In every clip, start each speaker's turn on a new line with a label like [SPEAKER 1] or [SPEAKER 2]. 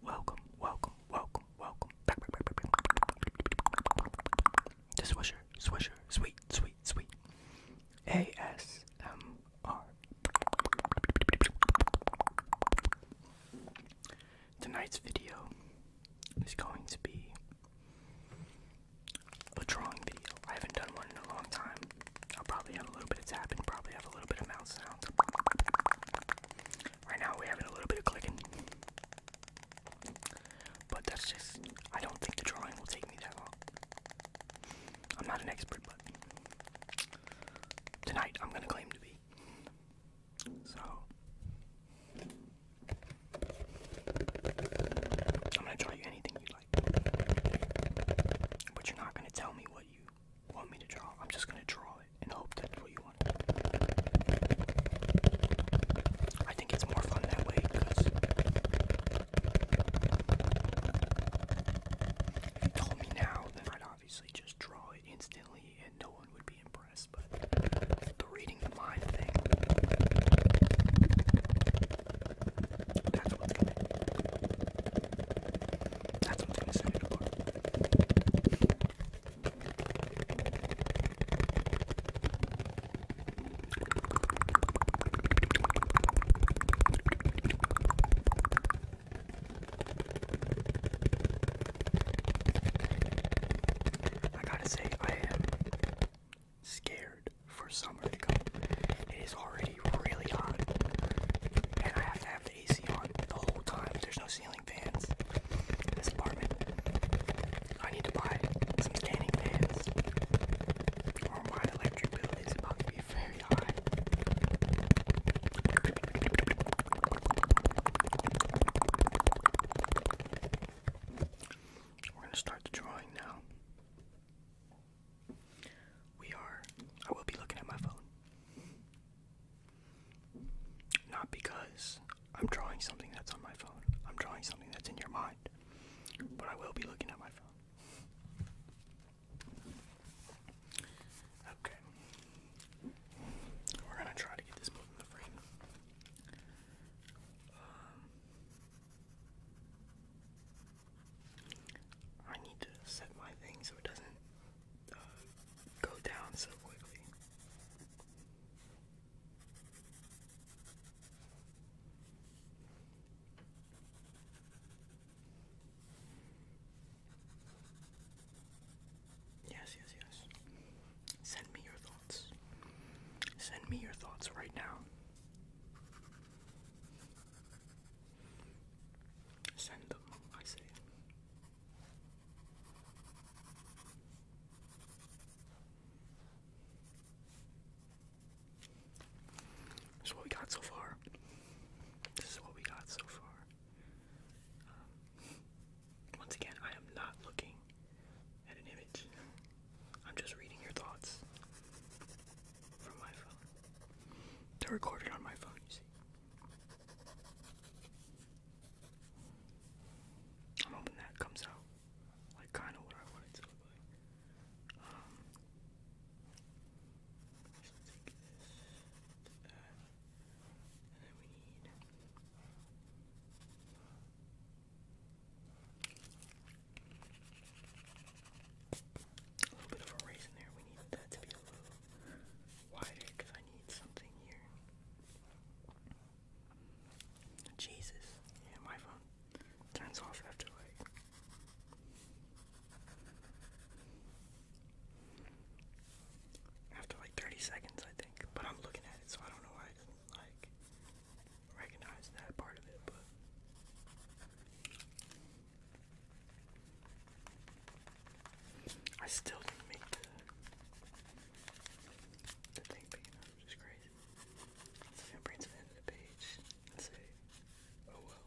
[SPEAKER 1] Welcome, welcome, welcome, welcome. The Swisher, Swisher, sweet, sweet, sweet. ASMR. Tonight's video is going to be a drawing video. I haven't done one in a long time. I'll probably have a little bit of tapping, probably have a little bit of mouse sound. Right now we're having a little bit of clicking. But that's just, I don't think the drawing will take me that long. I'm not an expert, but tonight I'm gonna claim to be. So, I'm gonna draw you anything you but you're not gonna tell me what you want me to draw. I'm just gonna draw it and hope that's what you want. I think it's more fun that way because if you told me now, then I'd obviously just draw it instantly and no one would be impressed. But the reading the mind thing that's what's gonna That's what's gonna set it apart. I gotta say, I am scared for summer to come. It is already really hot, and I have to have the AC on the whole time. There's no ceiling fans in this apartment. I need to buy some standing fans, or my electric bill is about to be very high. We're going to start the drawing now. We are, I will be looking at my phone. Not because I'm drawing something that's on my phone, I'm drawing something that's in your mind, but I will be looking at my phone. Okay. We're going to try to get this book the frame. Um, I need to set my thing so it doesn't uh, go down so quickly. Yes, yes, yes. Send me your thoughts. Send me your thoughts right now. Send them, I say. This is what we got so far. This is what we got so far. Um, once again, I am not looking at an image. I'm just reading your thoughts from my phone. They're recorded on my phone, you see. I'm hoping that comes out like kind of what I want to look like. Um, so take this, and then we need. A little bit of a raise in there. We need that to be a little wider because I need something here. Jesus. Yeah, my phone turns off after like. After like 30 seconds, I think. But I'm looking at it, so I don't know why it doesn't like recognize that part of it, but I still didn't make the, the thing big which is crazy. It's like I bring the page and say, oh well.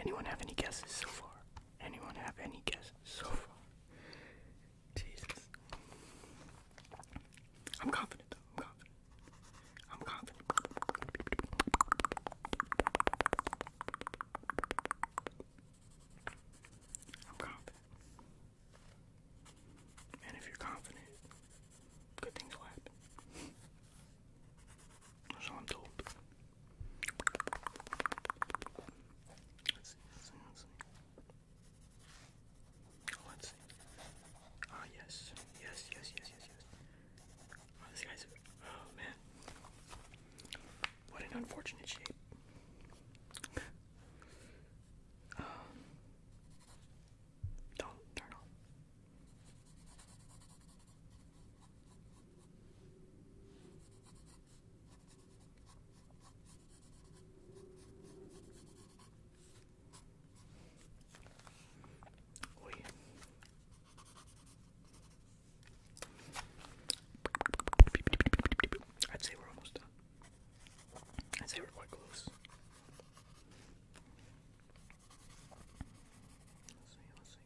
[SPEAKER 1] Anyone have any guesses so far? Anyone have any guesses so far? Jesus. I'm confident though. I'm confident. I'm confident. I'm confident. And if you're confident, good things happen. So oh, Ah, yes. Yes, yes, yes, yes, yes. Oh, this guy's. Oh, man. What an unfortunate shape. Um, don't turn on. Uy. I'd say we're almost done. I'd say we're quite close. Let's see, let's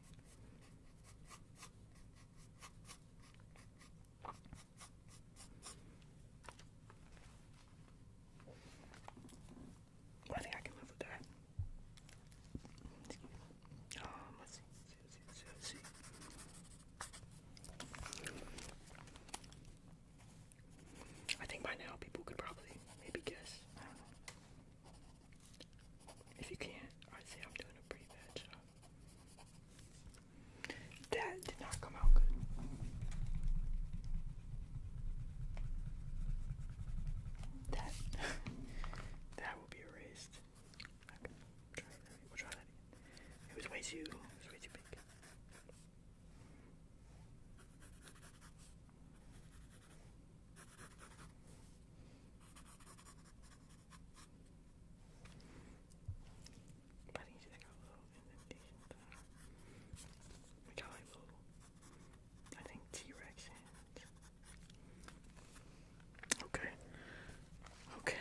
[SPEAKER 1] I think I can live with that. Um, let's see, think by now people could probably maybe guess. If you can't, I'd I'm doing a pretty bad job. That did not come out good. That that will be erased. Okay, We'll try that again. It was way too it was way too big. But you got little indentations. I got like little, I think T-Rex hands. Okay. Okay.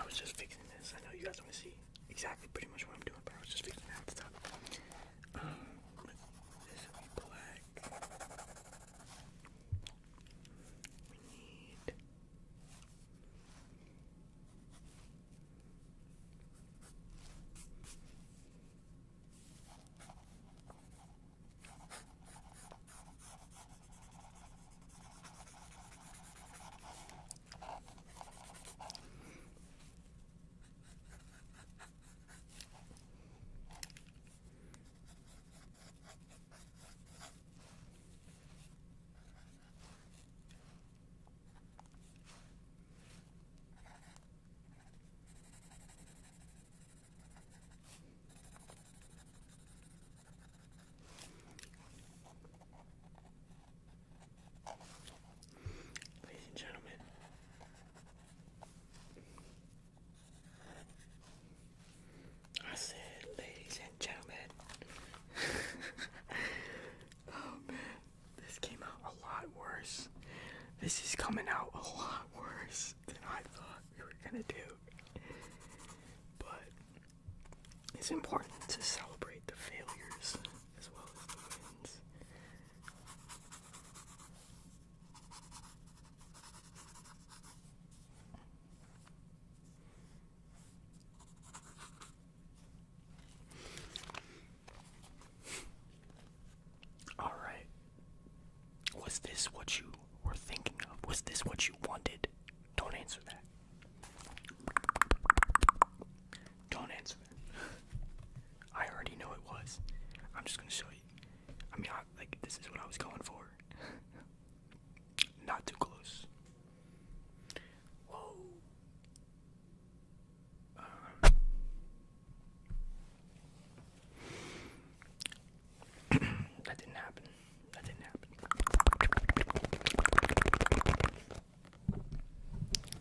[SPEAKER 1] I was just fixing this. I know you guys want to see exactly pretty much what I'm doing, but I was just fixing that stuff. Um, this would black. We need Ladies and gentlemen, I said, ladies and gentlemen. oh man, this came out a lot worse. This is coming out a lot worse than I thought we were gonna do. But it's important to celebrate the failures as well as the wins. All right. Was this what you were thinking of? Was this what you wanted? Don't answer that. Don't answer that. I already know it was. I'm just going to show you. I mean, I, like this is what I was going for. Not too close. Whoa. Um, that didn't happen. That didn't happen.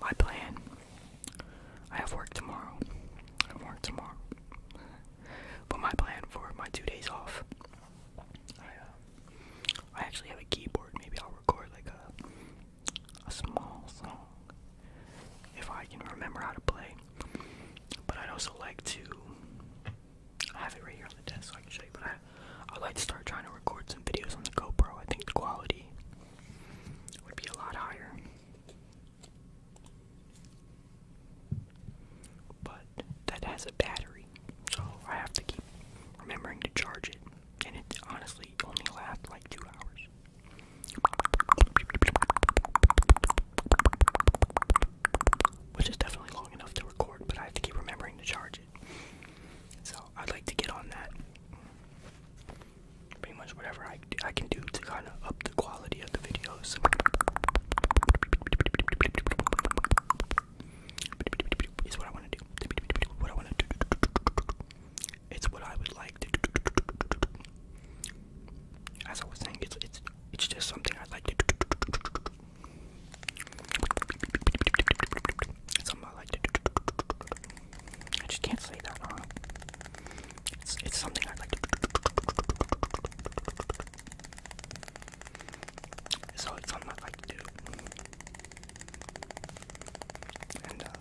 [SPEAKER 1] My plan. I have work tomorrow. I have work tomorrow. But my plan for my two days off. Uh, I actually have a keyboard. Maybe I'll record like a a small song if I can remember how to play. But I'd also like to. have it right here on the desk so I can show you. But I, I'd like to start trying to record some videos on the GoPro. I think the quality would be a lot higher. But that has a battery, so I have to keep remembering to charge it. And it honestly only lasts like two hours. Which is definitely long enough to record, but I have to keep remembering to charge it. So I'd like to get on that. Pretty much whatever I, I can do to kind of up the quality of the videos. Is what I want to do. What I want to do. It's what I would like as I was saying, it's it's it's just something I like to do. Something I like to do. I just can't say that. Huh? It's it's something I like to do. So it's something I like to do. And uh,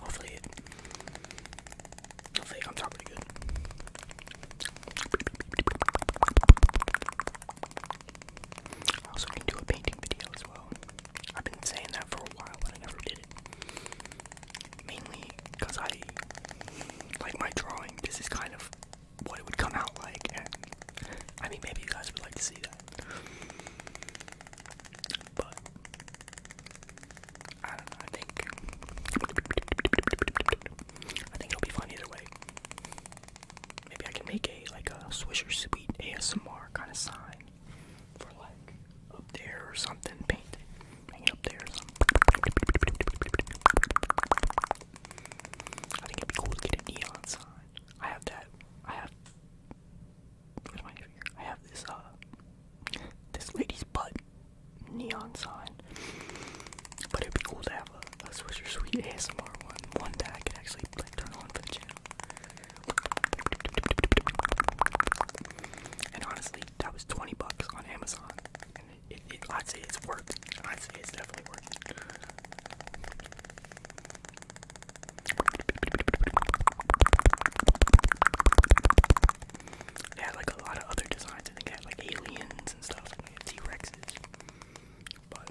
[SPEAKER 1] hopefully it I am talking pretty good. I also can do a painting video as well. I've been saying that for a while, but I never did it. Mainly because I like my drawing. This is kind of what it would come out like, I mean, maybe you guys would like to see that. But I think I think it'll be fun either way. Maybe I can make a like a Swisher Sweet ASMR kind of sign for like up there or something. Paint it, hang it up there. I think it'd be cool to get a neon sign. I have that. I have I have this uh this lady's butt neon sign. But it'd be cool to have a, Swisher Sweet ASMR one. One that I could actually like turn on for the channel. And honestly, that was 20 bucks on Amazon. And I'd say it's worked. I'd say it's definitely worked. It had like a lot of other designs. I think it had like aliens and stuff, like T Rexes. But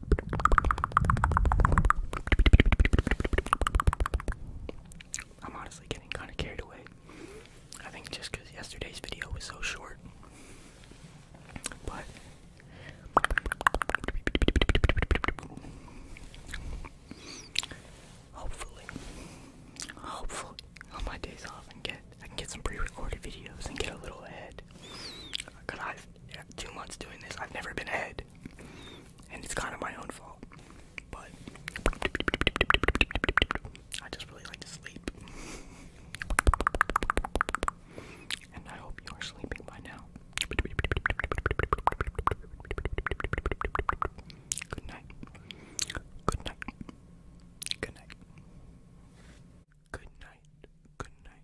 [SPEAKER 1] I'm honestly getting kind of carried away. I think just because yesterday's video was so short. But. Hopefully, hopefully, on my days off, and get I can get some pre-recorded videos and get a little ahead. Cause I've two months doing this, I've never been ahead and it's kind of my own fault. But I just really like to sleep, and I hope you are sleeping by now. Good night. Good night. Good night. Good night. Good night.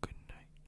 [SPEAKER 1] Good night.